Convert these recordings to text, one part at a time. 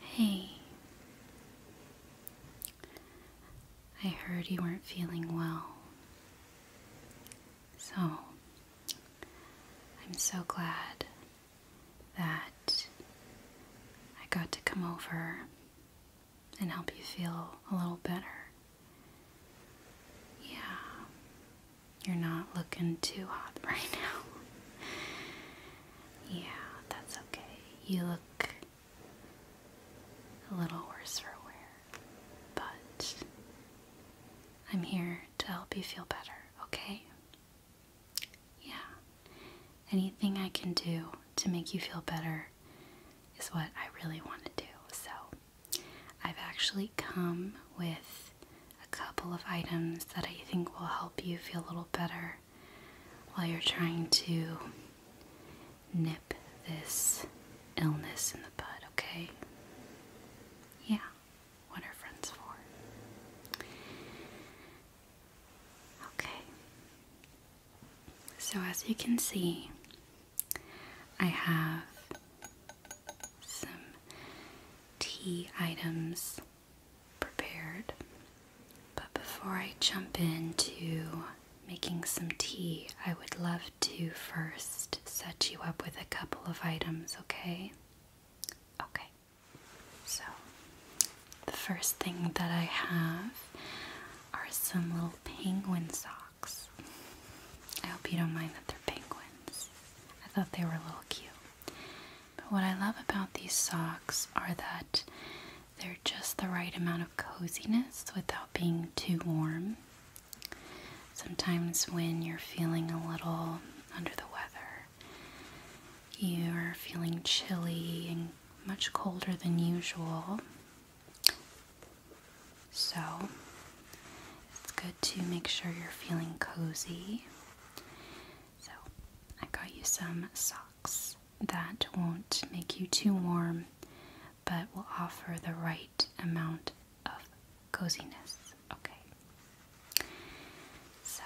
Hey, I heard you weren't feeling well. So, I'm so glad that I got to come over and help you feel a little better. Yeah, you're not looking too hot right now. yeah, that's okay. You look a little worse for wear, but I'm here to help you feel better, okay? Yeah. Anything I can do to make you feel better is what I really want to do. So I've actually come with a couple of items that I think will help you feel a little better while you're trying to nip this illness in the bud, okay? Yeah, what are friends for? Okay, so as you can see, I have some tea items prepared. But before I jump into making some tea, I would love to first set you up with a couple of items, okay? Okay. So, the first thing that I have are some little penguin socks. I hope you don't mind that they're penguins. I thought they were a little cute. But what I love about these socks are that they're just the right amount of coziness without being too warm. Sometimes when you're feeling a little under the weather, you're feeling chilly and much colder than usual, so it's good to make sure you're feeling cozy. So I got you some socks that won't make you too warm but will offer the right amount of coziness. Okay. So,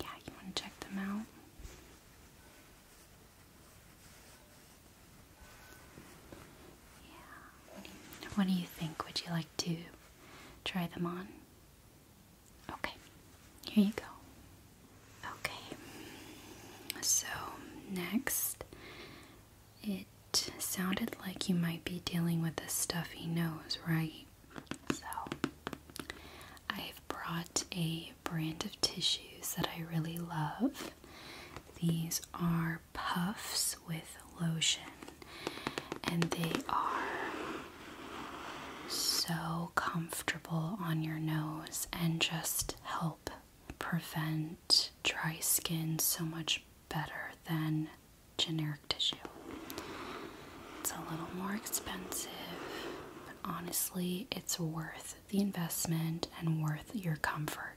yeah, you want to check them out? What do you think? Would you like to try them on? Okay. Here you go. Okay. So, next, it sounded like you might be dealing with a stuffy nose, right? So, I've brought a brand of tissues that I really love. These are puffs with lotion, and they are so comfortable on your nose and just help prevent dry skin so much better than generic tissue. It's a little more expensive, but honestly, it's worth the investment and worth your comfort.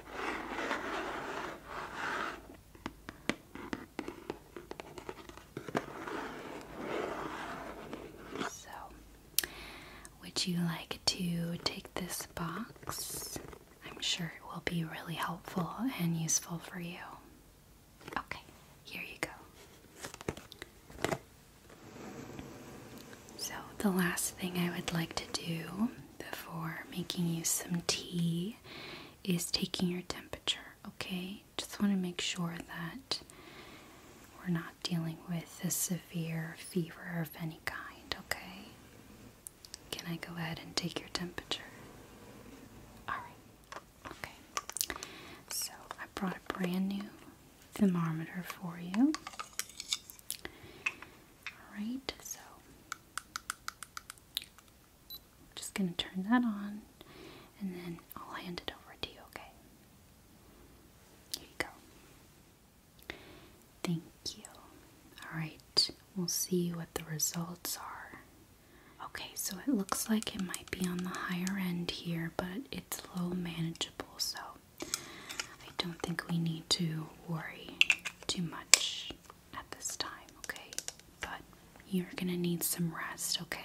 So, would you like to take this box? I'm sure it will be really helpful and useful for you. Okay, here you go. So, the last thing I would like to do before making you some tea is taking your temperature, okay? Just want to make sure that we're not dealing with a severe fever of any kind, okay? Can I go ahead and take your temperature? Alright, okay. So I brought a brand new thermometer for you. Alright, so I'm just going to turn that on and then I'll hand it over to you, okay? Here you go. Thank you. Alright, we'll see what the results are. Okay, so it looks like it might be on the higher end here, but it's low manageable, so I don't think we need to worry too much at this time, okay? But you're gonna need some rest, okay?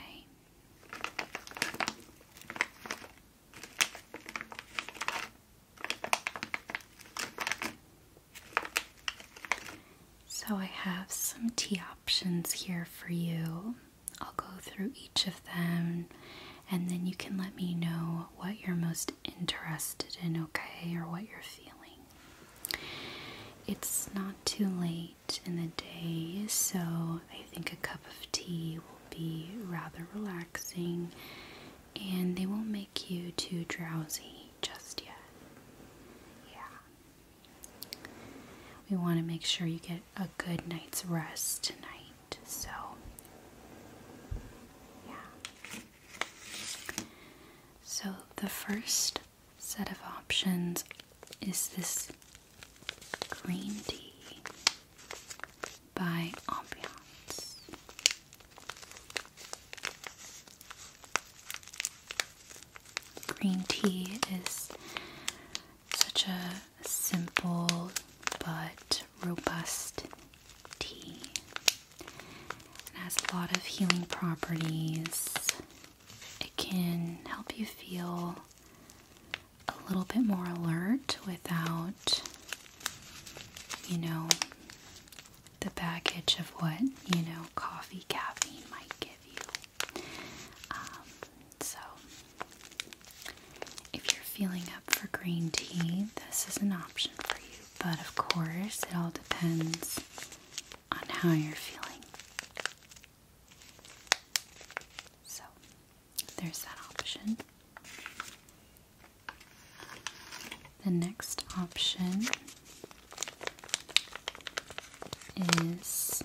So, I have some tea options here for you. I'll go through each of them and then you can let me know what you're most interested in, okay, or what you're feeling. It's not too late in the day, so I think a cup of tea will be rather relaxing and they won't make you too drowsy just yet. Yeah. We want to make sure you get a good night's rest tonight, so yeah. So, the first set of options is this green tea by Ambiance. Green tea is such a simple but robust tea. It has a lot of healing properties. It can help you feel a little bit more alert without, you know, the baggage of what, you know, coffee caffeine might give you. Um, so, if you're feeling up for green tea, this is an option for you. But of course, it all depends on how you're feeling. So, there's that option. The next option is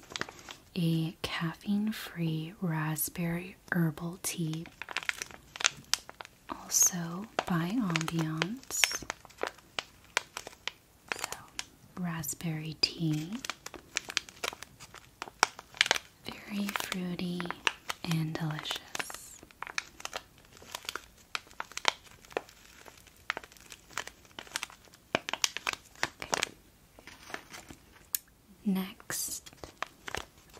a caffeine free raspberry herbal tea also by Ambiance. raspberry tea. Very fruity and delicious. Okay. Next,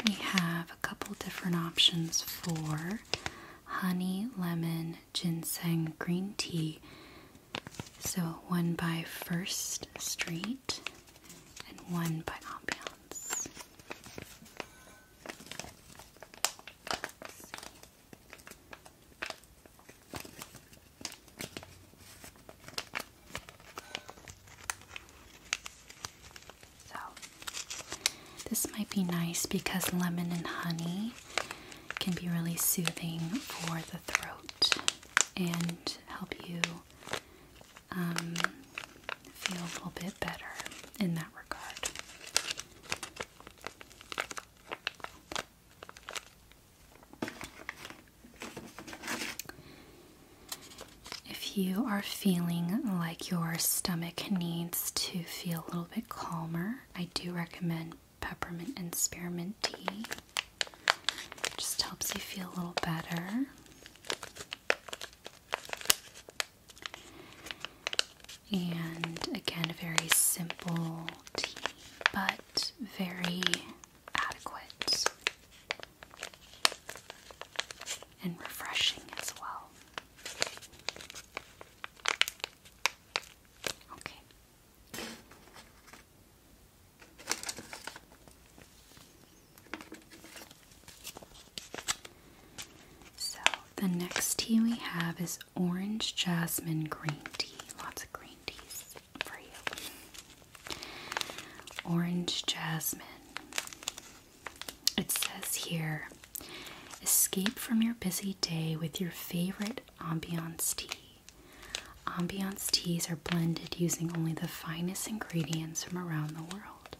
we have a couple different options for honey lemon ginseng green tea. So, one by First Street and one by Ambiance. So, this might be nice because lemon and honey can be really soothing for the throat and help you um, feel a little bit better in that regard. If you are feeling like your stomach needs to feel a little bit calmer, I do recommend peppermint and spearmint tea. It just helps you feel a little better. And again, very simple tea, but very adequate and refreshing as well. Okay. So the next tea we have is orange jasmine green tea. Lots of green teas for you. Orange jasmine. It says here escape from your busy day with your favorite ambiance tea. Ambiance teas are blended using only the finest ingredients from around the world.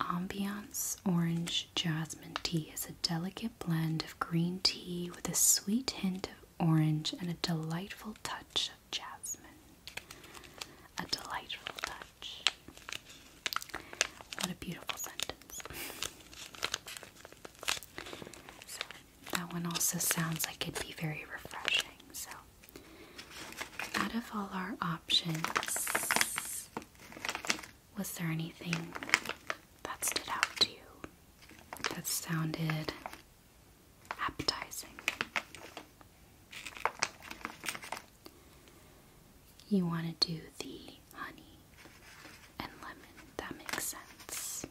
Ambiance Orange Jasmine Tea is a delicate blend of green tea with a sweet hint of orange and a delightful touch of jasmine. A delightful touch. What a beautiful sentence. that one also sounds like it'd be very refreshing. So, out of all our options, was there anything that stood out to you that sounded appetizing? You want to do the honey and lemon. That makes sense.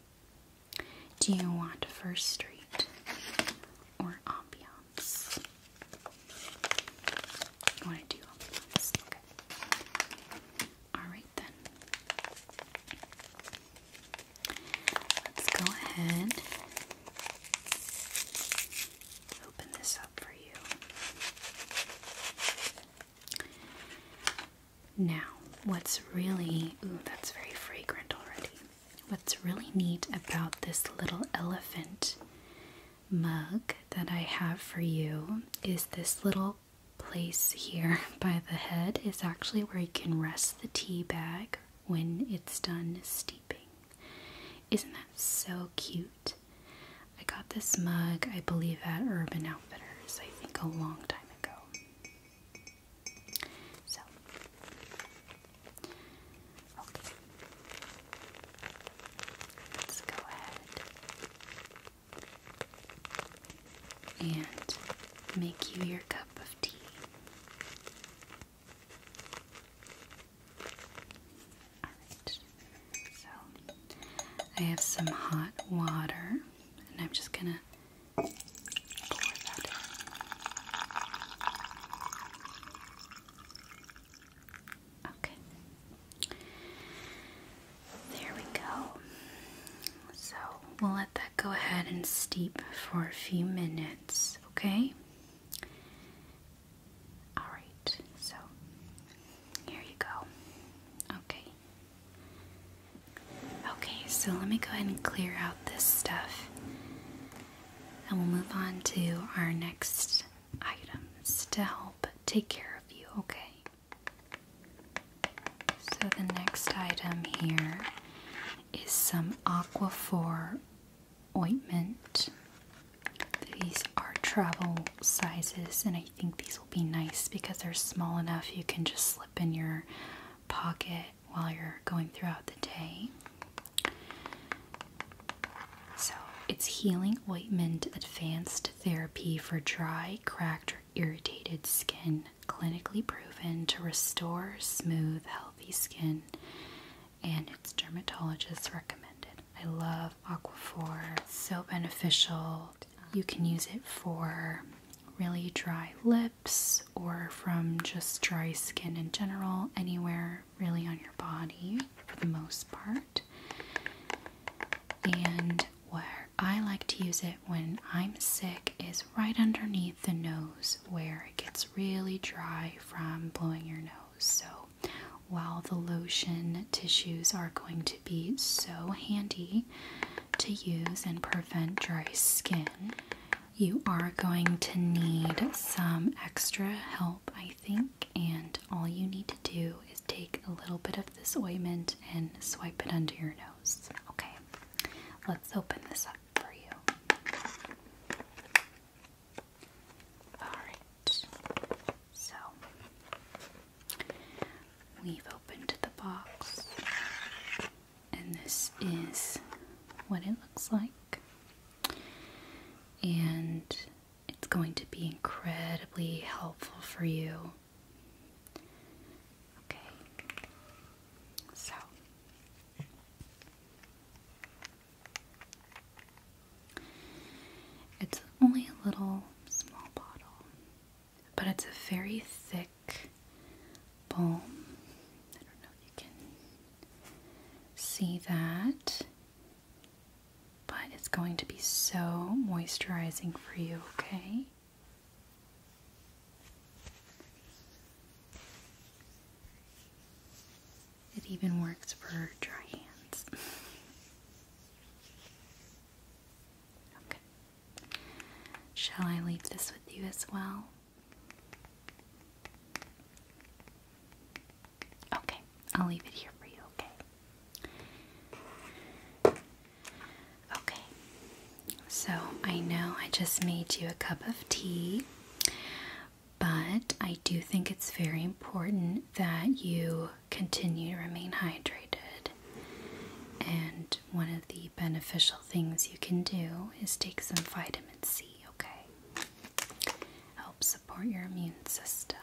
Do you want First Street or ambiance? You want to do ambiance? Okay. Alright then. Let's go ahead open this up for you. Now, what's really, that's very fragrant already. What's really neat about this little elephant mug that I have for you is this little place here by the head is actually where you can rest the tea bag when it's done steeping. Isn't that so cute? I got this mug, I believe, at Urban Outfitters, I think a long time ago. So, Let's go ahead and make you your cup of tea. I have some hot water, and I'm just gonna pour that in. Okay. There we go. So we'll let that go ahead and steep for a few minutes, okay? Alright, so here you go. Okay. Okay, so let me go ahead and clear out this stuff. And we'll move on to our next items to help take care of you, okay? So the next item here is some Aquaphor ointment. These are travel sizes, and I think these will be nice because they're small enough you can just slip in your pocket while you're going throughout the day. So, it's Healing Ointment Advanced Therapy for Dry, Cracked, Irritated Skin, clinically proven to restore smooth, healthy skin and it's dermatologist recommended. I love Aquaphor, so beneficial. You can use it for really dry lips or from just dry skin in general, anywhere really on your body for the most part. And where I like to use it when I'm sick is right underneath the nose where it gets really dry from blowing your nose. So while the lotion tissues are going to be so handy to use and prevent dry skin, you are going to need some extra help, I think. And all you need to do is take a little bit of this ointment and swipe it under your nose. Okay, let's open this up for you. Alright, so we've opened the box, and this is what it looks like. And it's going to be incredibly helpful for you. Okay, so it's only a little small bottle, but it's a very thick balm. I don't know if you can see that, but it's going to be so moisturizing for you, okay? It even works for dry hands. okay. Shall I leave this with you as well? Okay, I'll leave it here for you, okay? Okay, so I know I just made you a cup of tea. But I do think it's very important that you continue to remain hydrated. And one of the beneficial things you can do is take some vitamin C, okay? Help support your immune system.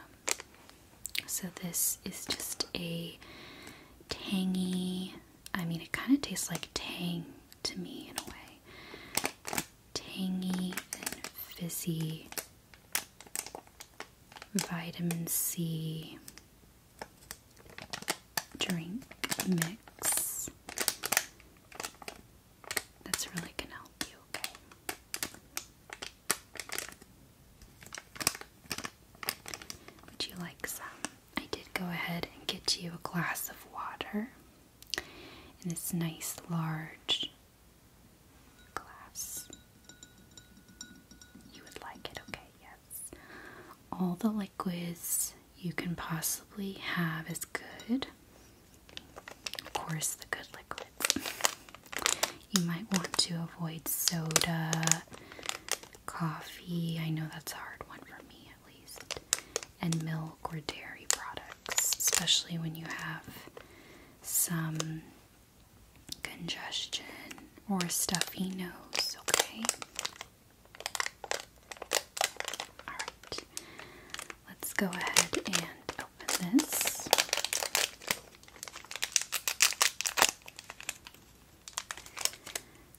So, this is just a tangy, I mean, it kind of tastes like tang to me in a way tangy and fizzy vitamin C drink mix that's really going to help you, Would you like some? I did go ahead and get you a glass of water And it's nice large glass. You would like it, okay, yes. All the liquids you can possibly have is good. Of course, the good liquids. You might want to avoid soda, coffee. I know that's a hard one for me at least and milk or dairy products, especially when you have some congestion or stuffy nose, okay? Alright, let's go ahead and open this.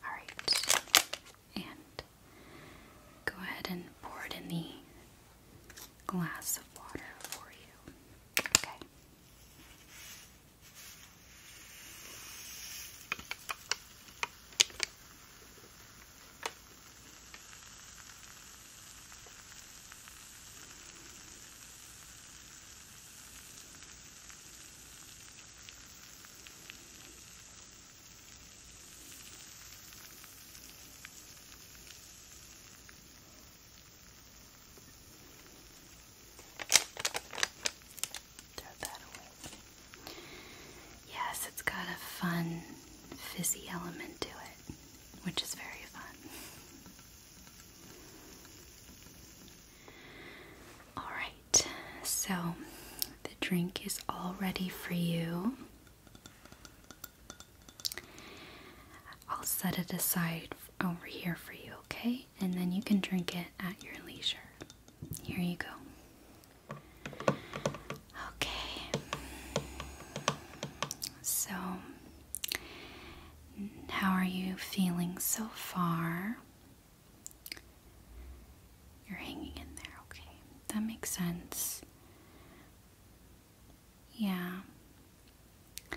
Alright, and go ahead and pour it in the glass of water for you. Okay. Yes, it's got a fun, fizzy element to it, which is very fun. Alright, so the drink is all ready for you. I'll set it aside over here for you, okay? And then you can drink it at your leisure. Here you go. Okay. So, how are you feeling so far? You're hanging in there, okay? That makes sense. Yeah, I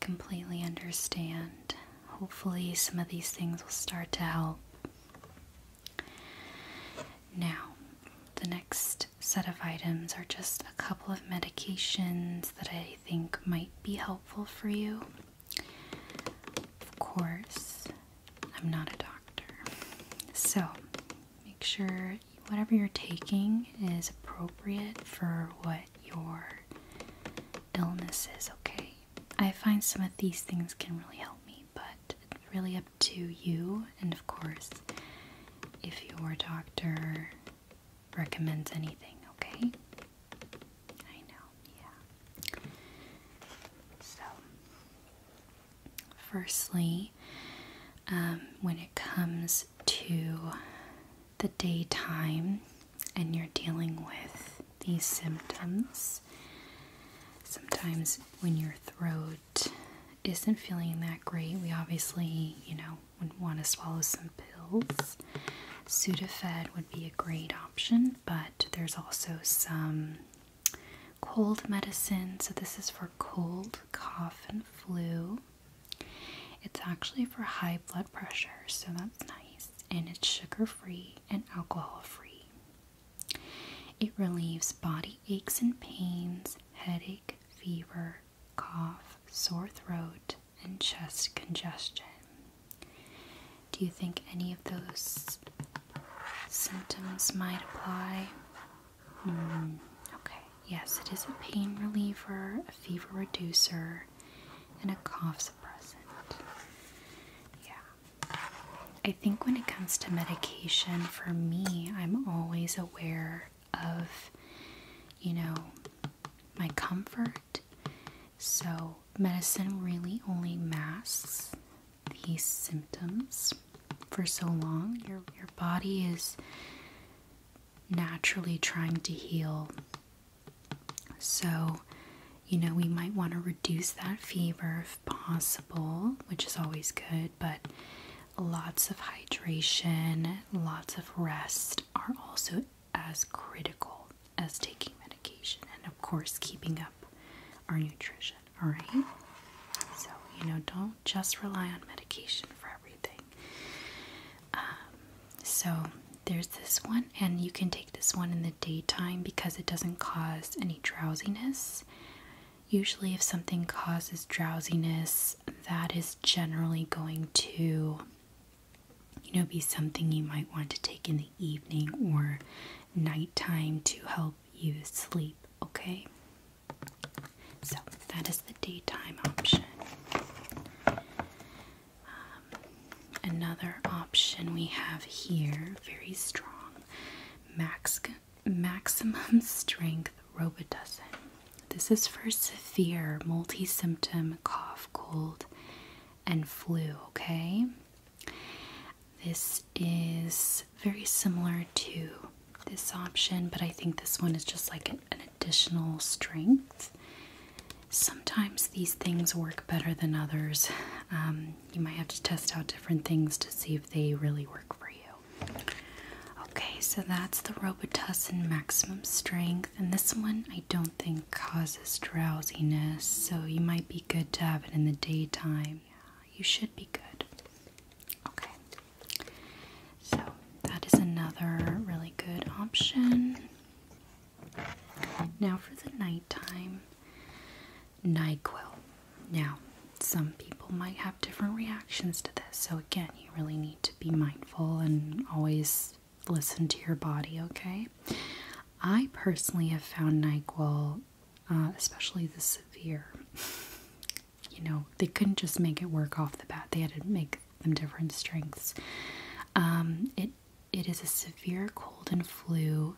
completely understand. Hopefully, some of these things will start to help. Now, the next set of items are just a couple of medications that I think might be helpful for you. Of course, I'm not a doctor. So, Make sure whatever you're taking is appropriate for what your illness is, okay? I find some of these things can really help me, but it's really up to you. And of course, if your doctor recommends anything, okay? I know, yeah. So, Firstly, um, when it comes to the daytime and you're dealing with these symptoms, sometimes when your throat isn't feeling that great, we obviously, you know, would want to swallow some pills. Sudafed would be a great option, but there's also some cold medicine. So, this is for cold, cough, and flu. It's actually for high blood pressure, so that's nice. And it's sugar free and alcohol free. It relieves body aches and pains, headache, fever, cough, sore throat, and chest congestion. Do you think any of those symptoms might apply? Mm. okay, yes, it is a pain reliever, a fever reducer, and a cough suppressant. Yeah. I think when it comes to medication, for me, I'm always aware of, you know, my comfort. So, medicine really only masks these symptoms for so long. Your your body is naturally trying to heal. So, you know, we might want to reduce that fever if possible, which is always good, but lots of hydration, lots of rest are also as critical as taking medication and, of course, keeping up our nutrition all right? So, you know, don't just rely on medication for everything. Um, so, there's this one, and you can take this one in the daytime because it doesn't cause any drowsiness. Usually, if something causes drowsiness, that is generally going to, you know, be something you might want to take in the evening or nighttime to help you sleep, okay? So that is the daytime option. Um, another option we have here, very strong, max, maximum strength robitussin. This is for severe multi symptom cough, cold, and flu, okay? This is very similar to this option, but I think this one is just like an, additional strength. Sometimes these things work better than others. Um, you might have to test out different things to see if they really work for you. Okay, so that's the Robitussin Maximum Strength, and this one I don't think causes drowsiness, so you might be good to have it in the daytime. you should be good. Okay. So, that is another really good option. Now, for the nighttime, NyQuil. Now, some people might have different reactions to this, so again, you really need to be mindful and always listen to your body, okay? I personally have found NyQuil, uh, especially the severe you know, they couldn't just make it work off the bat. They had to make them different strengths. Um, it it is a severe cold and flu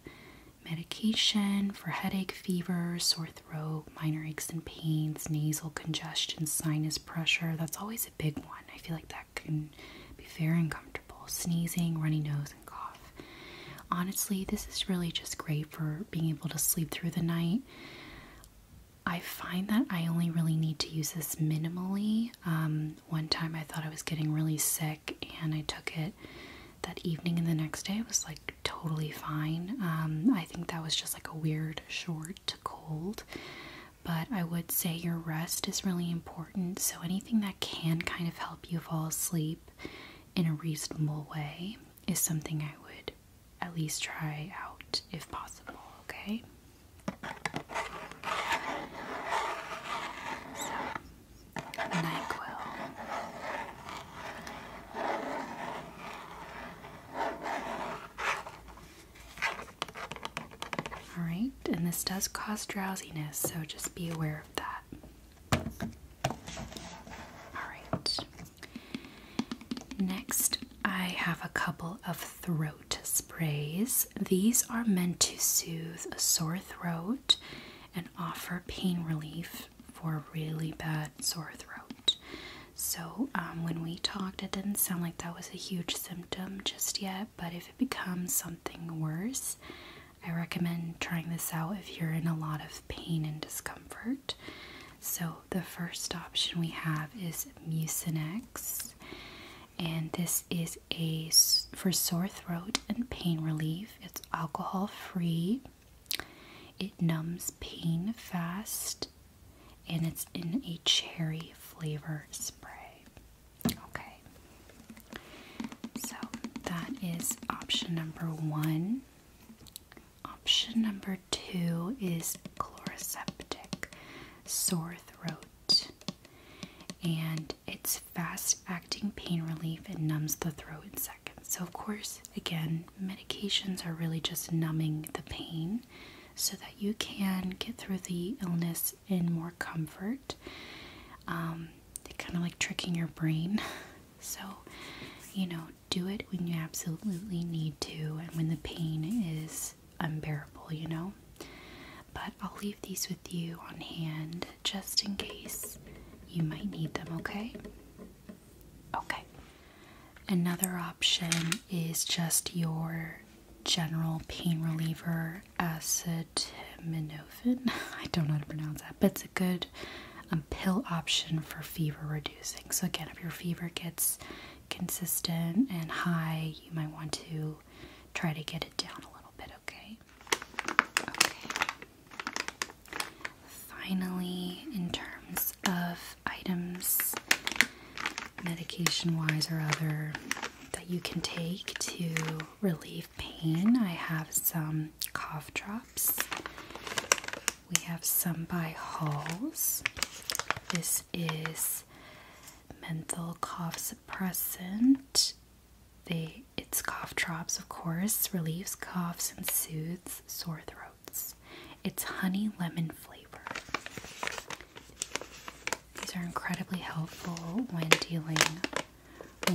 medication for headache, fever, sore throat, minor aches and pains, nasal congestion, sinus pressure. That's always a big one. I feel like that can be very uncomfortable. Sneezing, runny nose, and cough honestly, this is really just great for being able to sleep through the night. I find that I only really need to use this minimally. Um, one time I thought I was getting really sick and I took it that evening, and the next day it was like totally fine. Um, I think that was just like a weird short cold. But I would say your rest is really important, so anything that can kind of help you fall asleep in a reasonable way is something I would at least try out if possible, okay? So, NyQuil. Alright, and this does cause drowsiness, so just be aware of that. Alright. Next, I have a couple of throat sprays. These are meant to soothe a sore throat and offer pain relief for a really bad sore throat. So, um, when we talked, it didn't sound like that was a huge symptom just yet, but if it becomes something worse, I recommend trying this out if you're in a lot of pain and discomfort. So, the first option we have is Mucinex, and this is a for sore throat and pain relief. It's alcohol free. It numbs pain fast, and it's in a cherry flavor spray. Okay, so that is option number one. Option number two is chloroseptic sore throat, and it's fast acting pain relief and numbs the throat in seconds. So, of course, again, medications are really just numbing the pain so that you can get through the illness in more comfort. Um, kind of like tricking your brain. So, you know, do it when you absolutely need to and when the pain is unbearable, you know? But I'll leave these with you on hand just in case you might need them, okay? Okay. Another option is just your general pain reliever acetaminophen. I don't know how to pronounce that, but it's a good good pill option for fever reducing. So, again, if your fever gets consistent and high, you might want to try to get it down a little bit, okay? Okay. Finally, in terms of items, medication wise or other, that you can take to relieve pain, I have some cough drops. We have some by Halls. This is menthol cough suppressant. it's cough drops, of course, relieves coughs and soothes sore throats. It's honey lemon flavor. These are incredibly helpful when dealing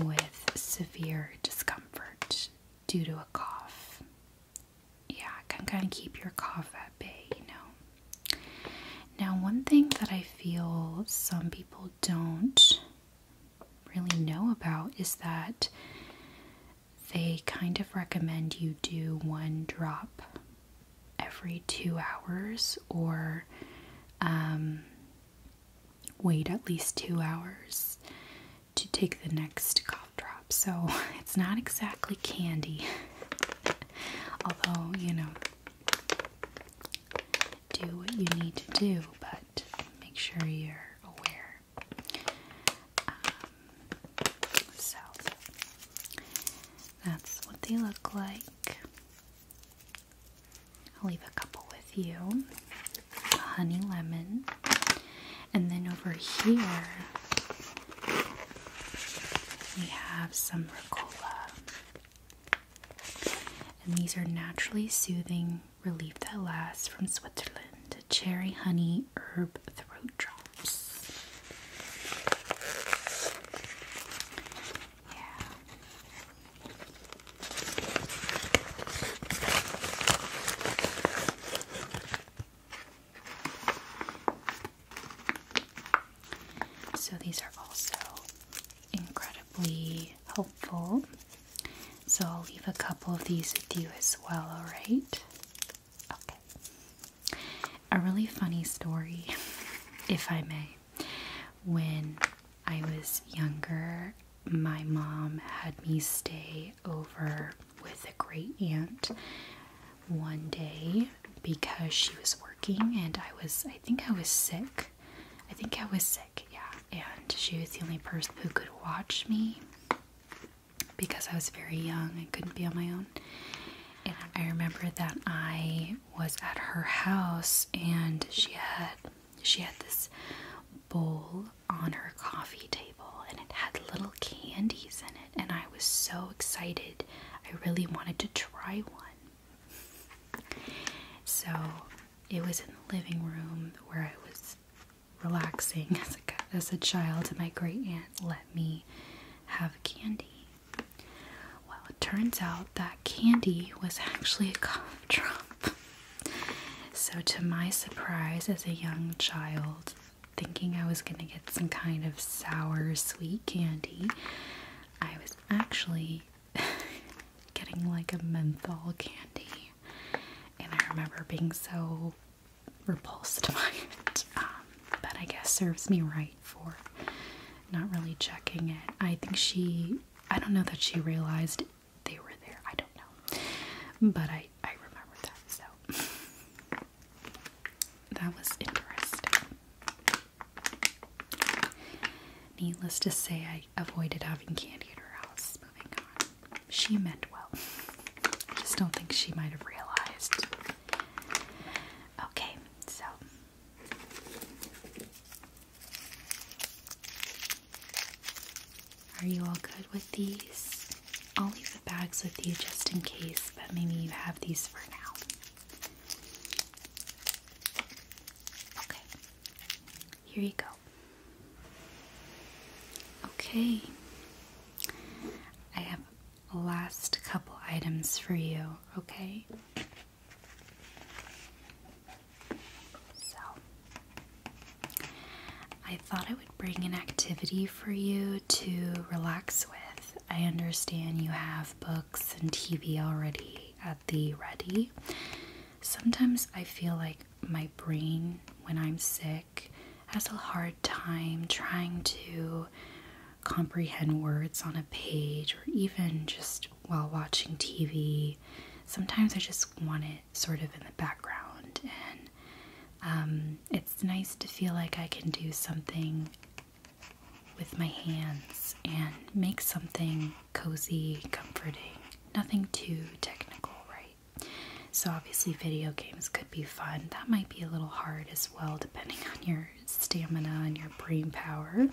with severe discomfort due to a cough. Yeah, it can kind of keep your cough at bay, you know. Now, one thing that I feel some people don't really know about is that they kind of recommend you do one drop every two hours or um, wait at least two hours to take the next cough drop. So it's not exactly candy, although, you know, do what you need to do, but make sure you're aware. Um, so that's what they look like. I'll leave a couple with you honey lemon. And then over here, we have some Ricola. And these are naturally soothing relief that lasts from Switzerland. Cherry honey herb throat drops. Yeah. So these are also incredibly helpful. So I'll leave a couple of these with you as well, alright? Okay. A really funny story, if I may. When I was younger, my mom had me stay over with a great aunt one day because she was working and I was, I think I was sick. I think I was sick, yeah. And she was the only person who could watch me because I was very young and couldn't be on my own. And I remember that I was at her house and she had she had this bowl on her coffee table and it had little candies in it, and I was so excited. I really wanted to try one. So it was in the living room where I was relaxing as a, child, and my great aunt let me have candy. Well, it turns out that candy was actually a cough drop. So, to my surprise, as a young child, thinking I was going to get some kind of sour, sweet candy, I was actually getting like a menthol candy. And I remember being so repulsed by it. Um, but I guess serves me right for not really checking it. I think she, I don't know that she realized they were there. I don't know, but I I remember that. So that was interesting. Needless to say, I avoided having candy at her house. Moving on, she meant well. I just don't think she might have realized. Okay, so are you all good with these? I'll leave the bags with you just in case, but maybe you have these for now. Okay, here you go. Okay, I have last couple items for you, okay? So, I thought I would bring an activity for you to relax with. I understand you have books and TV already at the ready. Sometimes I feel like my brain, when I'm sick, has a hard time trying to comprehend words on a page or even just while watching TV. Sometimes I just want it sort of in the background, and um, it's nice to feel like I can do something with my hands and make something cozy, comforting. Nothing too technical, right? So, obviously, video games could be fun. That might be a little hard as well, depending on your stamina and your brain power.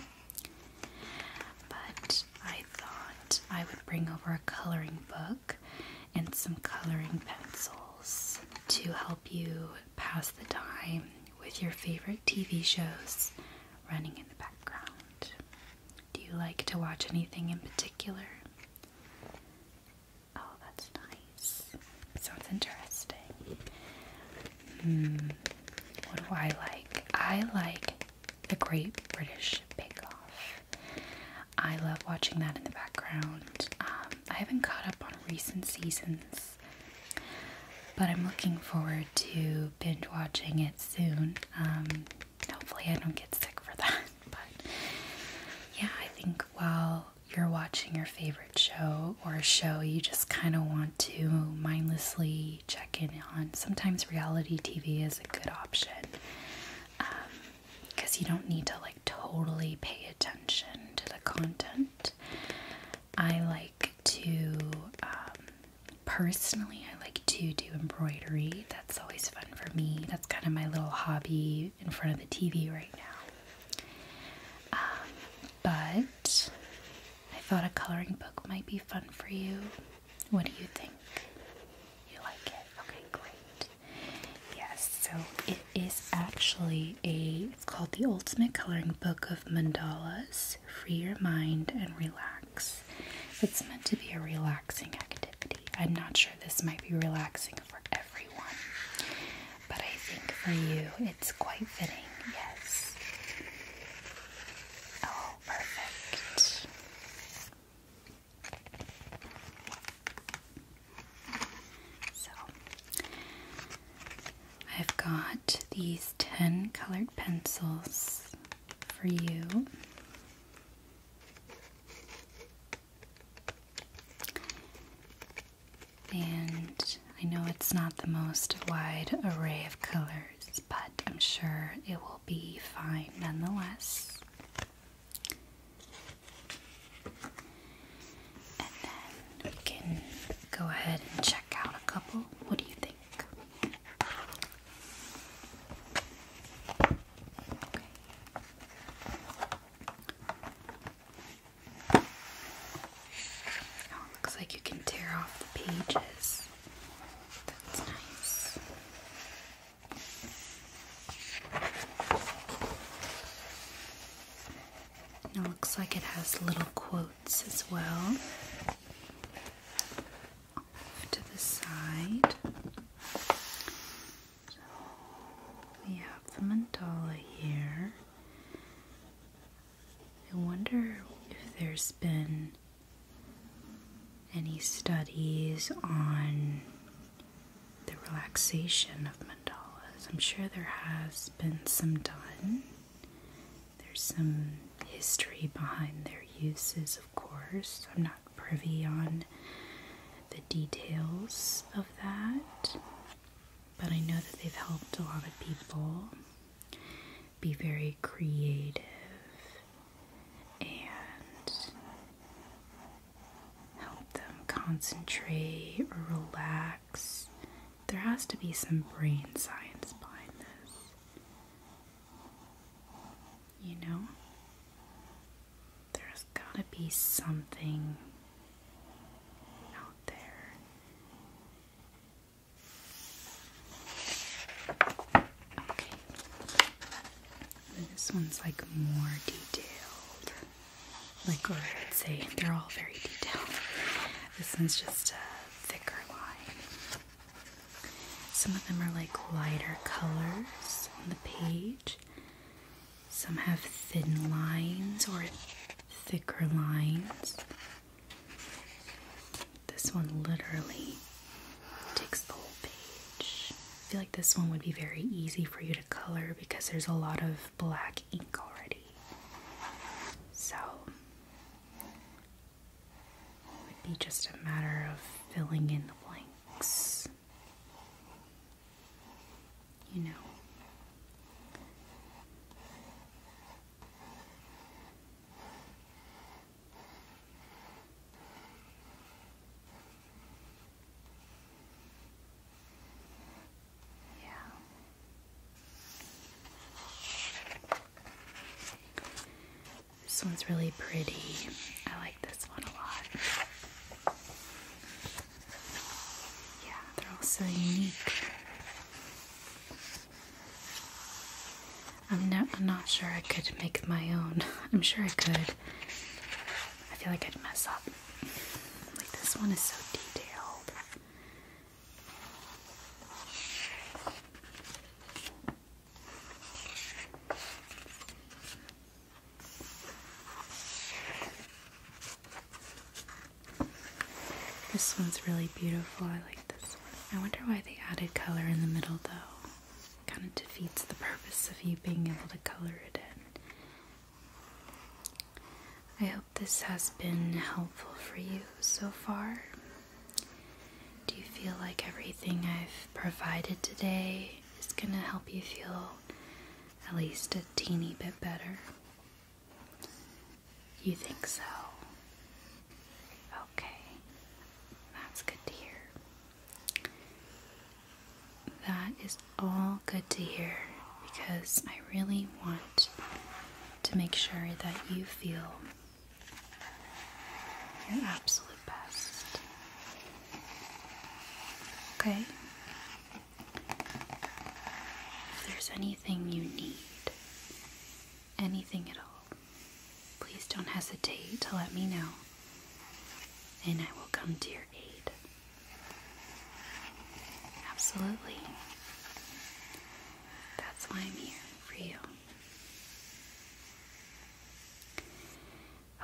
But I thought I would bring over a coloring book and some coloring pencils to help you pass the time with your favorite TV shows running in the background. Do you like to watch anything in particular? Oh, that's nice. Sounds interesting. Hmm, what do I like? I like the Great British Bake Off. I love watching that in the background. Um, I haven't caught up on recent seasons, but I'm looking forward to binge watching it soon. Um, hopefully, I don't get sick for that. But yeah, I think while you're watching your favorite show or show you just kind of want to mindlessly check in on, sometimes reality TV is a good option. Um, because you don't need to like totally pay attention to the content. I like to, um, personally, I like to do embroidery. That's always fun for me. That's kind of my little hobby in front of the TV right now. Um, but I thought a coloring book might be fun for you. What do you think? You like it? Okay, great. Yes, so it is actually a, it's called The Ultimate Coloring Book of Mandalas. Free your mind and relax. It's meant to be a relaxing activity. I'm not sure this might be relaxing for everyone, but I think for you it's quite fitting, yes. Oh, perfect. So I've got these 10 colored pencils for you. And I know it's not the most wide array of colors, but I'm sure it will be fine nonetheless. And then we can go ahead and check out a couple. What do you think? Oh, looks like you can tear off the pages. That's nice. It looks like it has little quotes as well. to the side. we have the mandala here. I wonder if there's been any studies on the relaxation of mandalas? I'm sure there has been some done. There's some history behind their uses, of course. I'm not privy on the details of that, but I know that they've helped a lot of people be very creative and help them concentrate or relax. There has to be some brain science behind this, you know? There's gotta be something out there. Okay. This one's like more detailed. Like, or let's say they're all very detailed. This one's just a thicker line. Some of them are like lighter colors on the page. Some have thin lines or thicker lines. This one literally takes the whole page. I feel like this one would be very easy for you to color because there's a lot of black ink already. So it would be just a matter of filling in the blanks. You know. Yeah. This one's really pretty. I like this one a lot. Yeah, they're all so unique. I'm not, I'm not sure I could make my own. I'm sure I could. I feel like I'd mess up. Like this one is so detailed. This one's really beautiful. I like this one. I wonder why they added color in the middle though kind of defeats the purpose of you being able to color it in. I hope this has been helpful for you so far. Do you feel like everything I've provided today is going to help you feel at least a teeny bit better? You think so? Okay, that's good to hear. That is all good to hear because I really want to make sure that you feel your absolute best. Okay? If there's anything you need, anything at all, please don't hesitate to let me know, and I will come to your aid. Absolutely. That's why I'm here for you.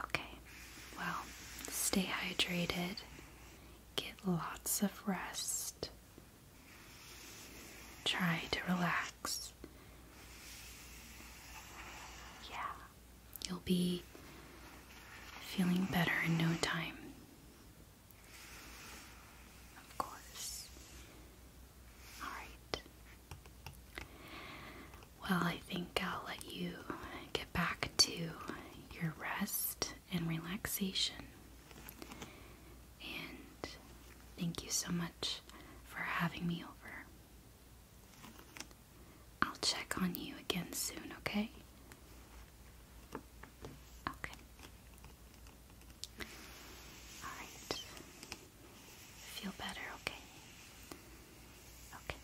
Okay, well, stay hydrated, get lots of rest, try to relax. Yeah. You'll be feeling better in no time. Of course. Alright. Well, I think I'll let you get back to your rest and relaxation. And thank you so much for having me over. I'll check on you again soon, okay? Okay. Alright. Feel better, okay? Okay.